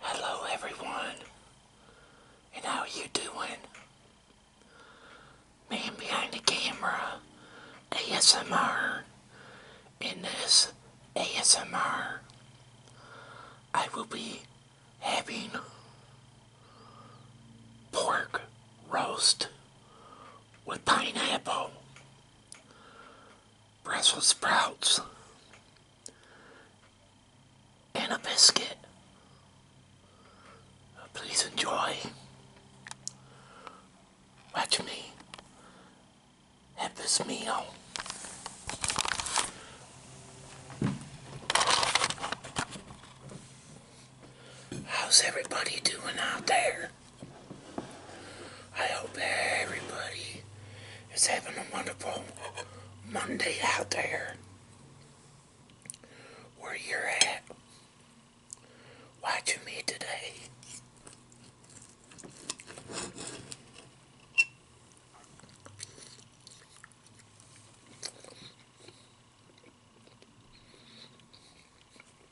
Hello everyone, and how are you doing? Man behind the camera, ASMR. In this ASMR, I will be having pork roast with pineapple. Brussels sprouts, and a biscuit. Please enjoy. Watch me have this meal. How's everybody doing out there? I hope everybody is having a wonderful Monday out there. Where you're at. Watching me today.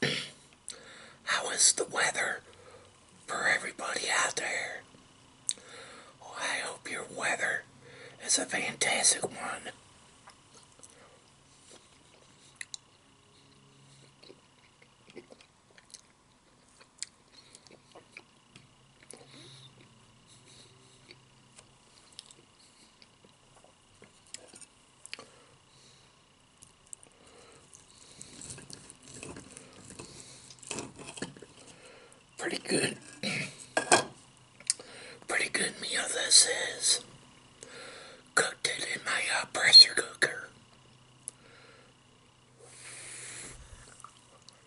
How is the weather for everybody out there? Well, oh, I hope your weather is a fantastic one. Pretty good. Pretty good meal this is. Cooked it in my uh, pressure cooker.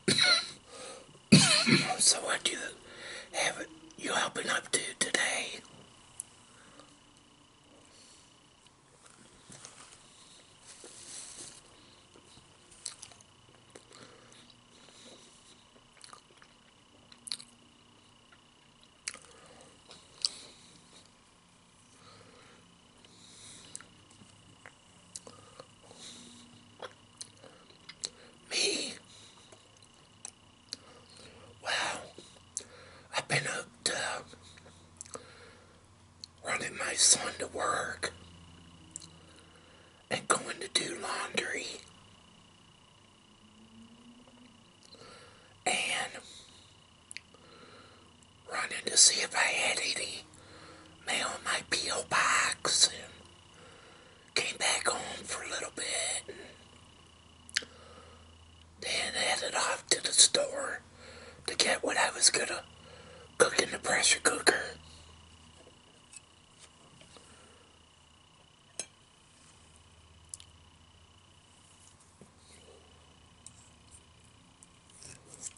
so what do you have you all been up to today? Me? Well, I've been up to running my son to work and going to do laundry. And running to see if I had any mail in my P.O. box came back home for a little bit. And then headed off to the store to get what I was gonna cook in the pressure cooker.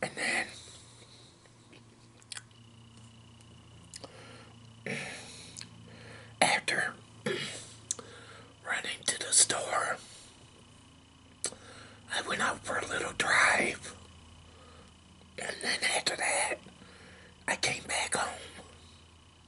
And then after running to the store, I went out for a little drive. And then after that, I came back home.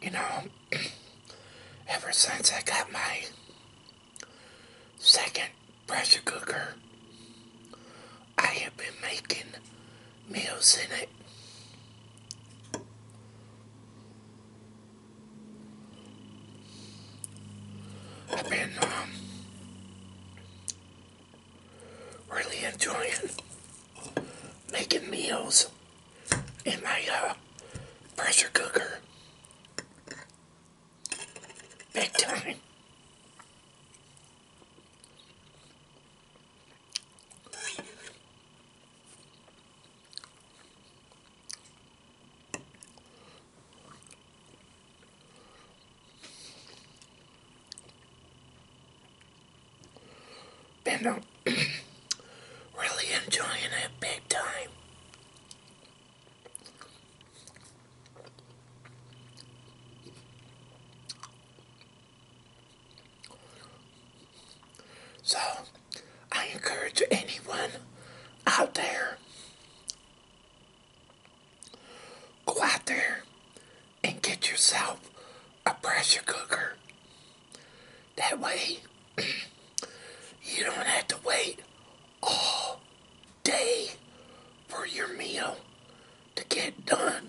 you know, ever since I got my second pressure cooker, I have been making meals in it. I've been um, really enjoying making meals in my uh, pressure cooker. Big time been really enjoying it big time. So, I encourage anyone out there, go out there and get yourself a pressure cooker. That way, you don't have to wait all day for your meal to get done.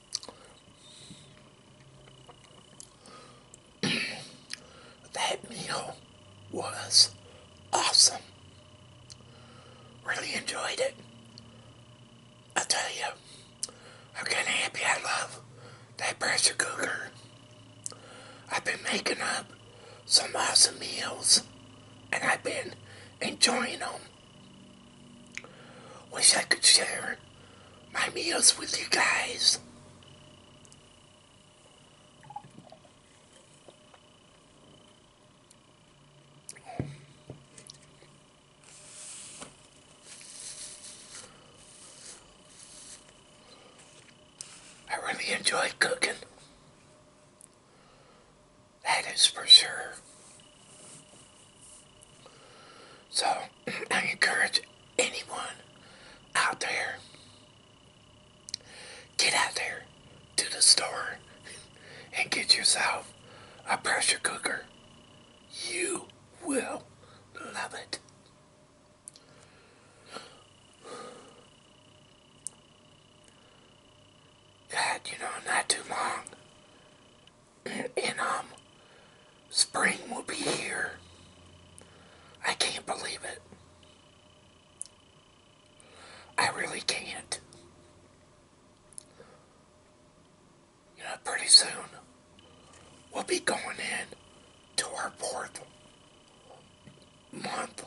that meal was awesome. Really enjoyed it. I tell you, I'm kind of happy I love that pressure cooker. I've been making up some awesome meals and I've been enjoying them. Wish I could share my meals with you guys. I really enjoy cooking. That is for sure. So, I encourage anyone out there, get out there to the store and get yourself a pressure cooker. You will love it. God, you know, not too long and um, spring will be here. I can't believe it. I really can't. You know, pretty soon we'll be going in to our fourth month.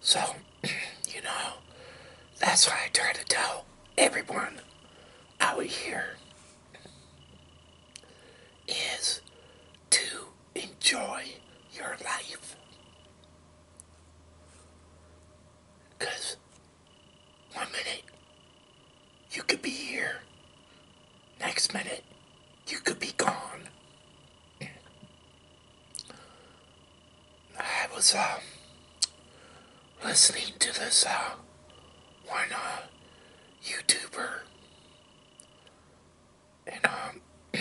So, you know, that's why I try to tell everyone out here is to enjoy your life. one minute you could be here Next minute, you could be gone. I was uh, listening to this uh, one uh, YouTuber, and um,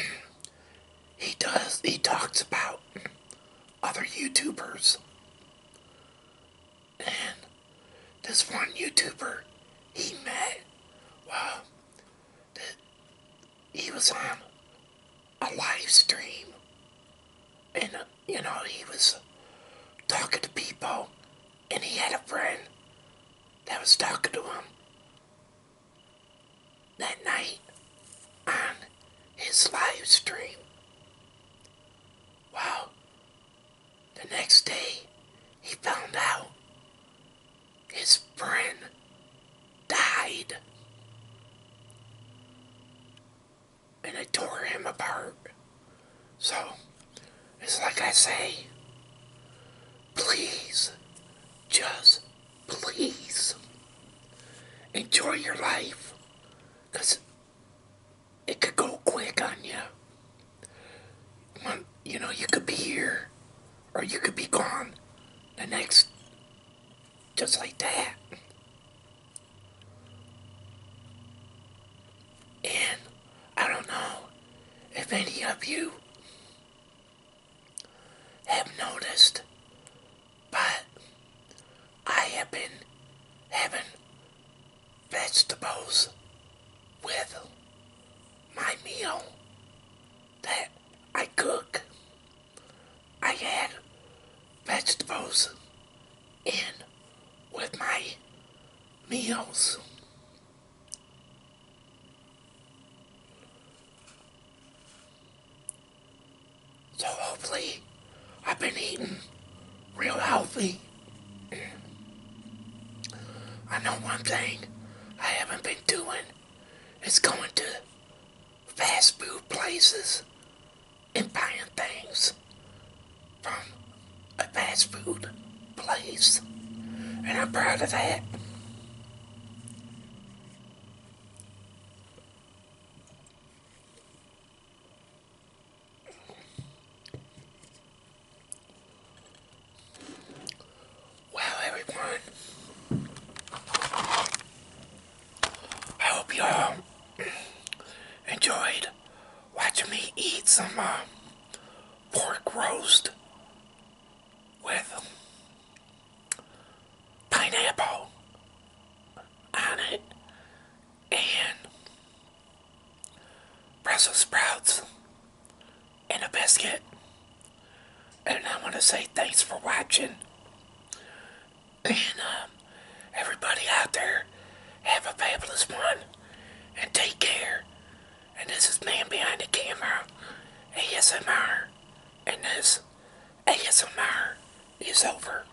he does he talks about other YouTubers, and this one YouTuber he met well that he was on a live stream and uh, you know he was talking to people and he had a friend that was talking to him that night on his live stream. Wow, the next day, he found out his friend died. And I tore him apart. So, it's like I say, please, just please, enjoy your life. Because it could go quick on you. You know, you could be here or you could be gone the next, just like that. And I don't know if any of you have noticed, but I have been having vegetables with my meal that I cook. I add vegetables in with my meals. So hopefully I've been eating real healthy. I know one thing I haven't been doing is going to fast food places and buying things from a fast food place. And I'm proud of that. Well, everyone, I hope you all enjoyed watching me eat some uh, pork roast with pineapple on it and Brussels sprouts and a biscuit. And I want to say thanks for watching. And um, everybody out there, have a fabulous one. And take care. And this is Man Behind the Camera, ASMR. And this ASMR is over.